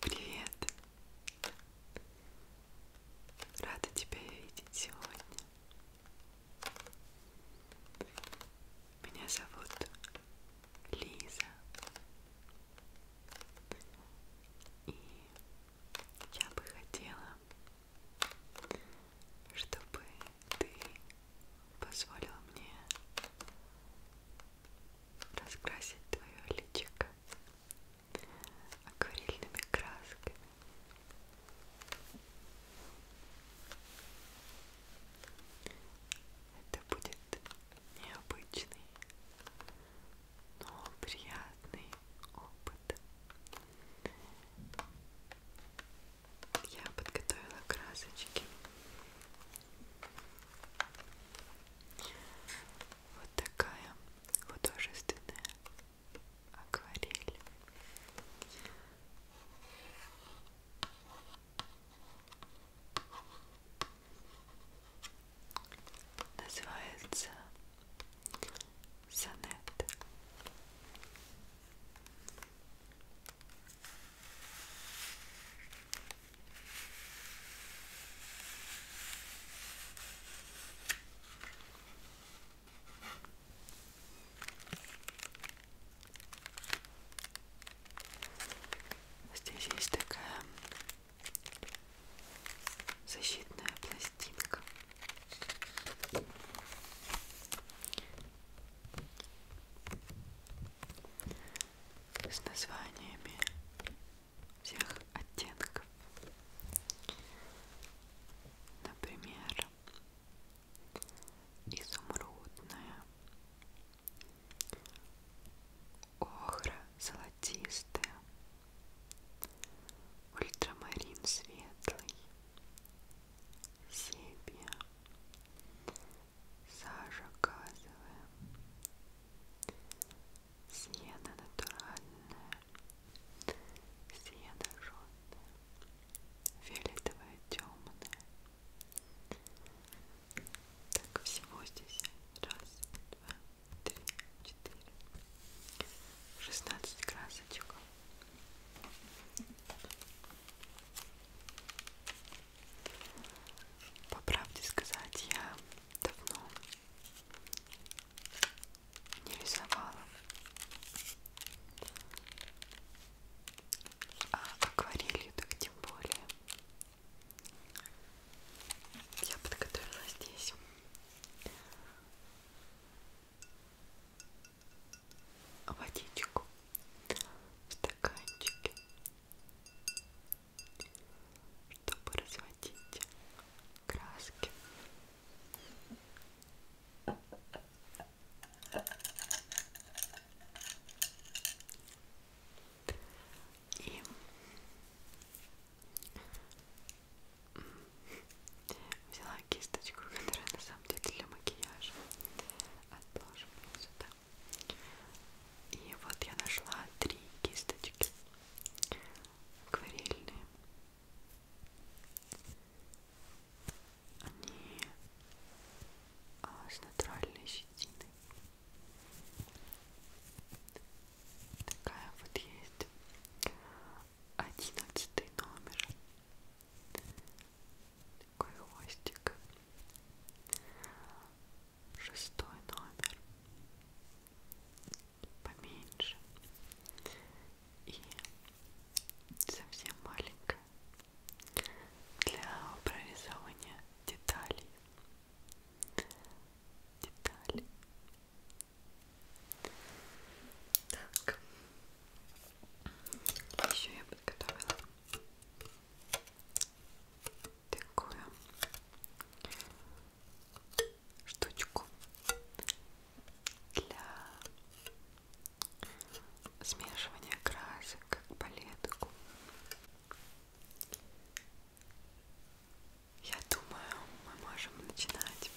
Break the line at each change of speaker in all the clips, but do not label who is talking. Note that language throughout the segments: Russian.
Привет! Рада тебя видеть сегодня. Меня зовут Лиза. И я бы хотела, чтобы ты позволил мне раскрасить твое личико акварельными красками. Это будет необычный, но приятный опыт я подготовила красочки. Вот такая художественная акварель. Называется сонет. Здесь есть такая защитная пластинка с названиями всех оттенков. Например, изумрудная, охра золотистая, ультрамарин светлый, себе Сажа газовая Сена натуральная Сена жженая Фиолетовая темная Так, всего здесь раз, два, три, четыре 16 красочек по правде сказать, я давно не рисовала. А акварелью так тем более. Я подготовила здесь водичку в стаканчике, чтобы разводить краски. И взяла кисточку, которая на самом самом деле для макияжа. Отложим вот сюда. И вот я нашла три кисточки акварельные. Они а, с натуральной щетиной. Такая вот есть. Одиннадцатый номер такой хвостик шестой номер поменьше и совсем маленькая для прорисования деталей детали так еще я подготовила такую штучку для смешивания красок, как палетку. Я думаю, мы можем начинать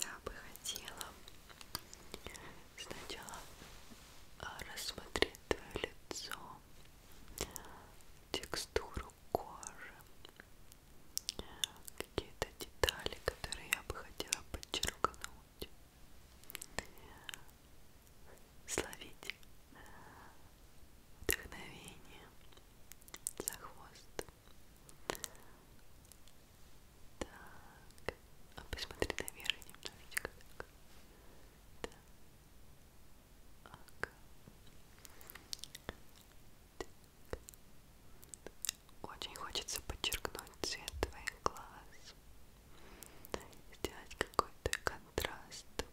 я бы хотела сначала а, рассмотреть твое лицо, текстуру кожи, какие-то детали, которые я бы хотела подчеркнуть. Словить вдохновение за хвост так, а посмотри наверх немножечко так. Так. так. Очень хочется подчеркнуть цвет твоих глаз. Сделать какой-то контраст. Так.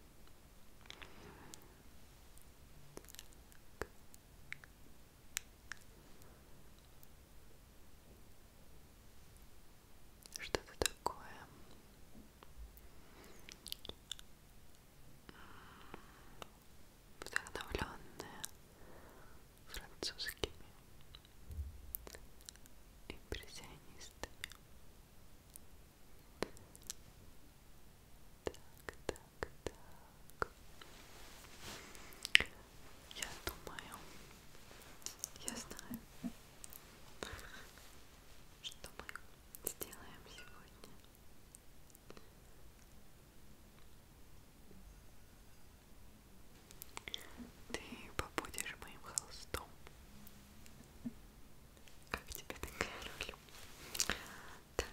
Что-то такое вдохновленное французскими импрессионистами. Так, так, так так. Я думаю, я знаю, что мы сделаем сегодня. Ты побудешь моим холстом. Как тебе такая роль? Так,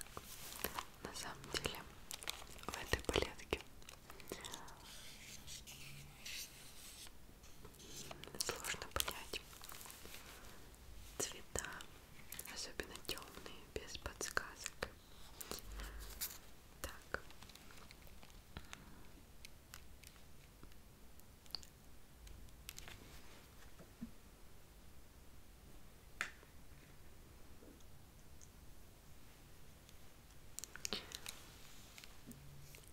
на самом деле в этой палетке Сложно понять цвета, особенно темные, без подсказок. Так.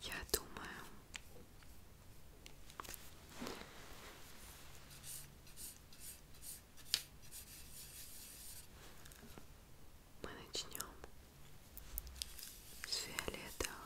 Я думаю, мы начнем с фиолетового. Фиолетовый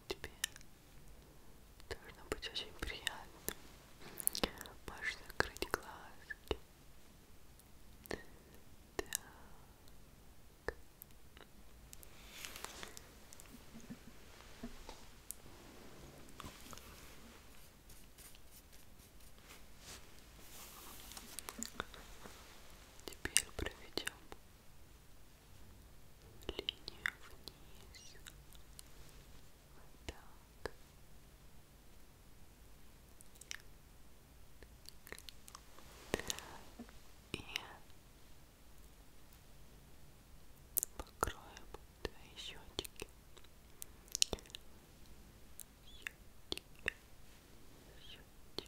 тебе должно быть очень приятно. Можешь закрыть глазки. Так. Теперь проведем линия вниз вот так и покроем твои щечки щечки щечки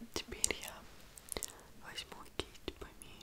И теперь я возьму кисть поменьше.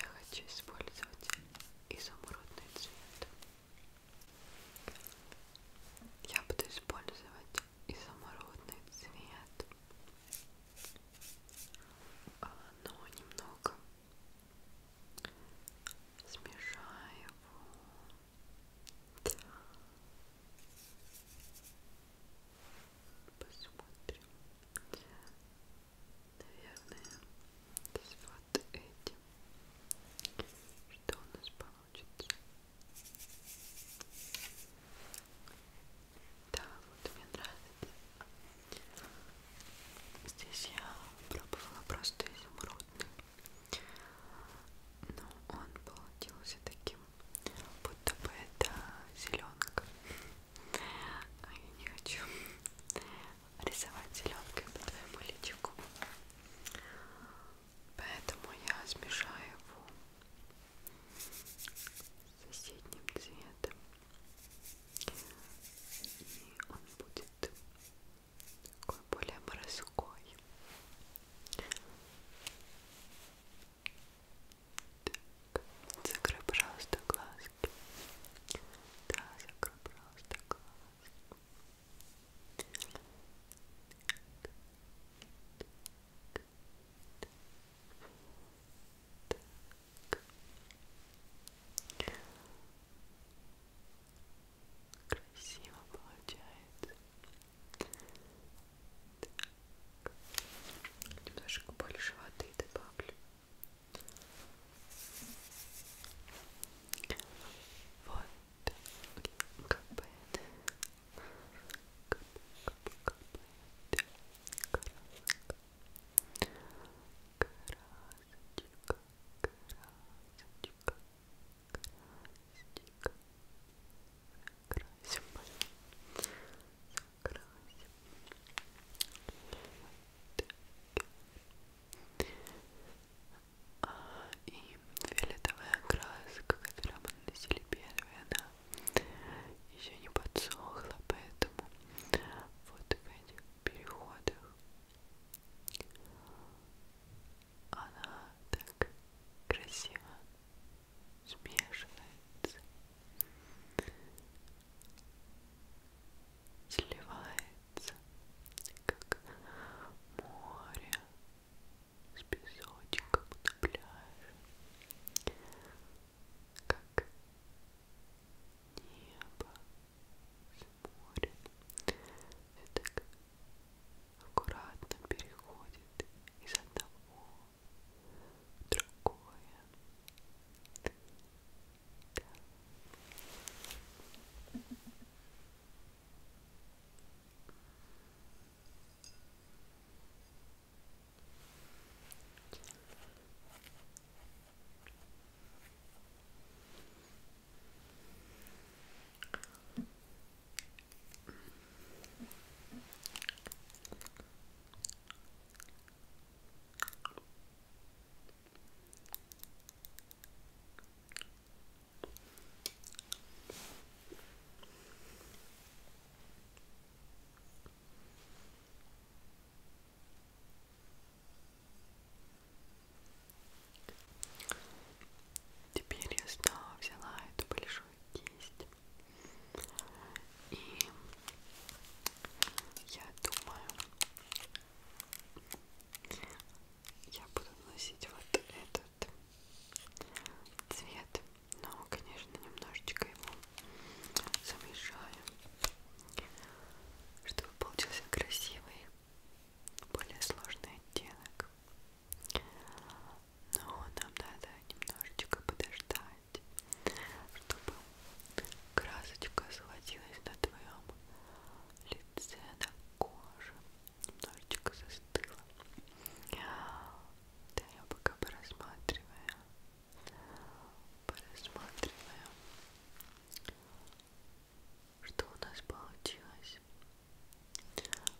Я хочу использовать изумрудный цвет. Я буду использовать изумрудный цвет, а, но немного смешаю его посмотрим. Наверное, с вот этим. Что у нас получится? Да, вот мне нравится. Здесь я пробовала просто изумрудный. Но он получился таким будто бы это зеленка. А я не хочу рисовать зеленкой по твоему личику. Поэтому я смешаю его с соседним цветом. И он будет такой более морской. Так, закрой, пожалуйста, глазки. Да, закрой, пожалуйста, глазки. Так. Красиво получается. Так. Немножко больше воды добавлю. Вот. Капает. Кап, кап, капает. Красота. Красотика. Красотика. Красотика. Красим накрасим. Так. А, и фиолетовая краска, которую мы наносили первая, она еще не подсохла, поэтому вот в этих переходах она так красиво смешивается, сливается, как море с песочком на пляже, как небо с морем. Это аккуратно переходит из одного другое. Да. Теперь я снова взяла эту большую кисть и я думаю, я буду носить вот этот цвет, но, конечно, немножечко его замешаю, чтобы получился красивый, более сложный оттенок. Но нам надо немножечко подождать чтобы красочка сводилась на твоем лице, на коже, немножечко застыла. Да, я пока порассматриваю, порассматриваю, что у нас получилось.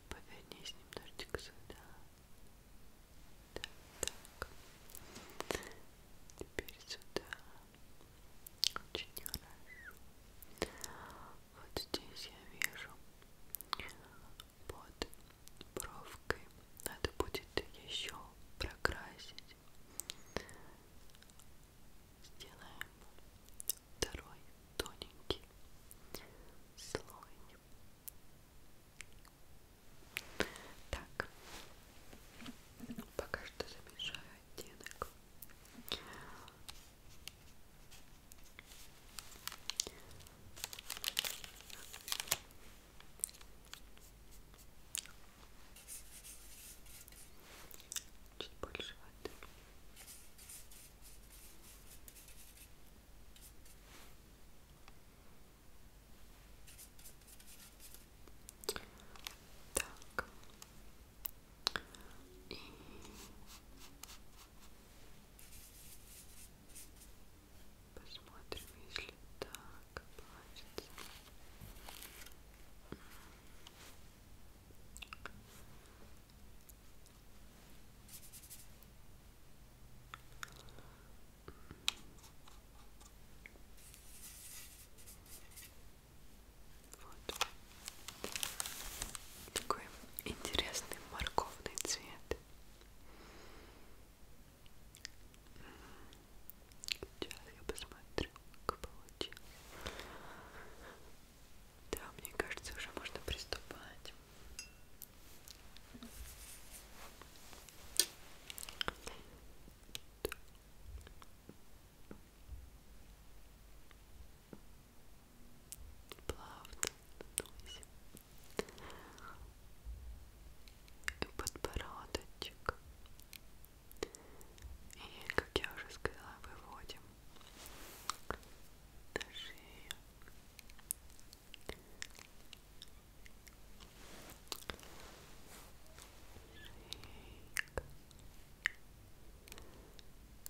Повернись немножечко сюда так, так. Теперь сюда. Очень хорошо. Вот здесь я вижу под бровкой. Надо будет еще прокрасить. Сделаем второй тоненький слой. Так, ну, пока что замешаю оттенок. Чуть больше воды. Так. Так. И... Посмотрим, если так получится. Вот. Такой интересный морковный цвет. М-м. Сейчас я посмотрю, как получилось. Да, мне кажется, уже можно приступать. Плавно надуйся. И подбородочек. И, как я уже сказала, выводим на шею. Шейка.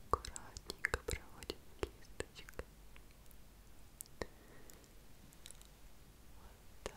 Аккуратненько проводим кисточкой. Вот так.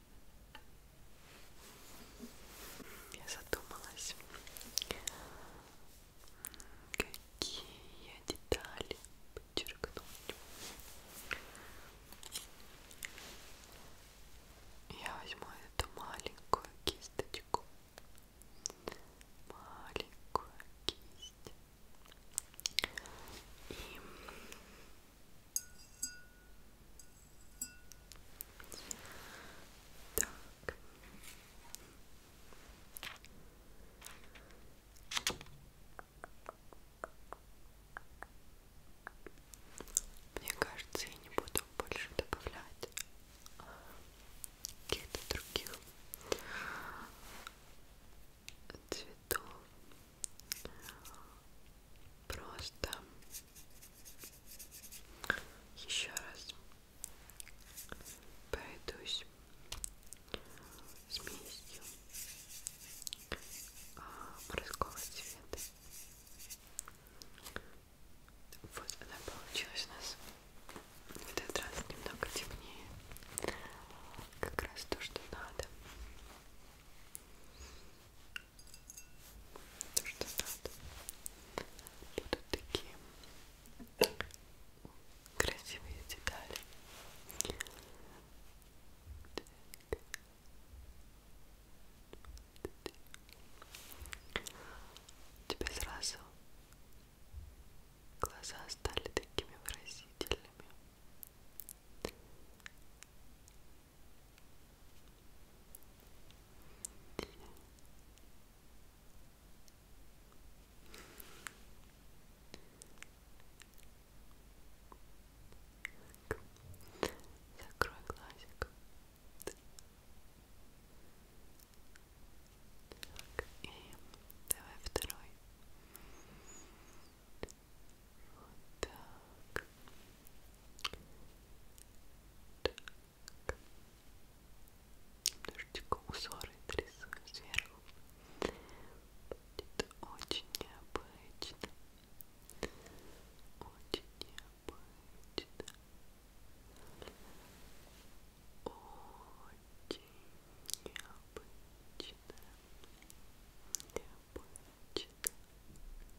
Я задумалась, какие детали подчеркнуть. Я возьму эту маленькую кисточку. Маленькую кисть. И так. Мне кажется, я не буду больше добавлять каких-то других цветов Просто еще раз пройдусь смесью а, морского цвета. Вот она получилась у нас в этот раз немного темнее. Как раз то, что надо то, что надо. Будут такие красивые детали. У тебя сразу глаза стали такими выразительными. Закрой глазик. Так, и давай второй. Так. Вот так. Так. Немножечко узоры трясу сверху. Будет очень необычно. Очень необычно. Очень необычно. Необычно.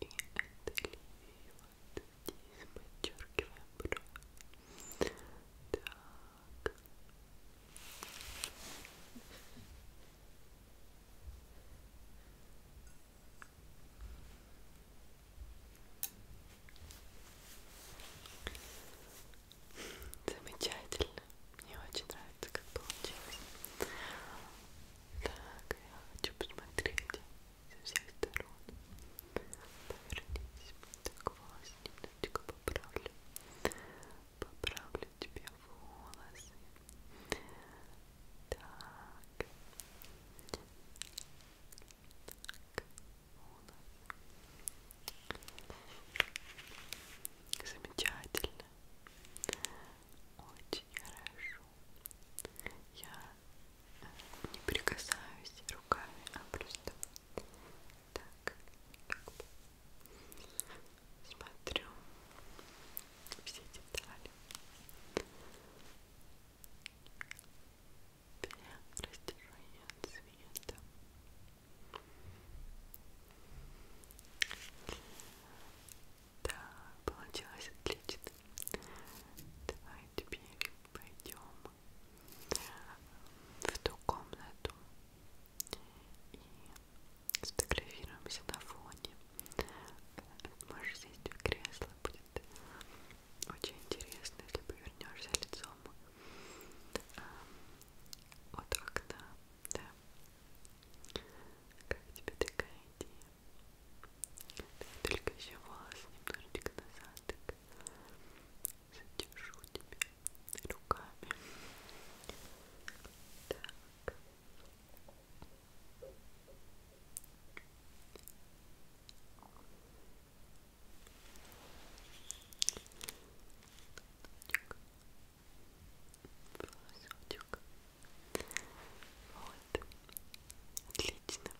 И это линию вот здесь подчеркиваем бровь. Так. Замечательно, мне очень нравится нравится, как получилось. Так, я хочу посмотреть со всех сторон. Повернись. Так, волосы немножечко поправлю. Поправлю тебе волосы. Так. Так, волосы. Замечательно очень хорошо. Я э, не прикасаюсь руками, а просто так смотрю все детали. Для растяжения цвета. Да, получилось отлично. Давай теперь пойдем в ту комнату и сфотографируемся на фоне. Можешь сесть в кресло, будет очень интересно, если повернешься лицом а, от окна. Да. Как тебе такая идея? Только еще волосы немножечко назад так задержу тебя руками. Так. Так волосочек. Вот. Отлично.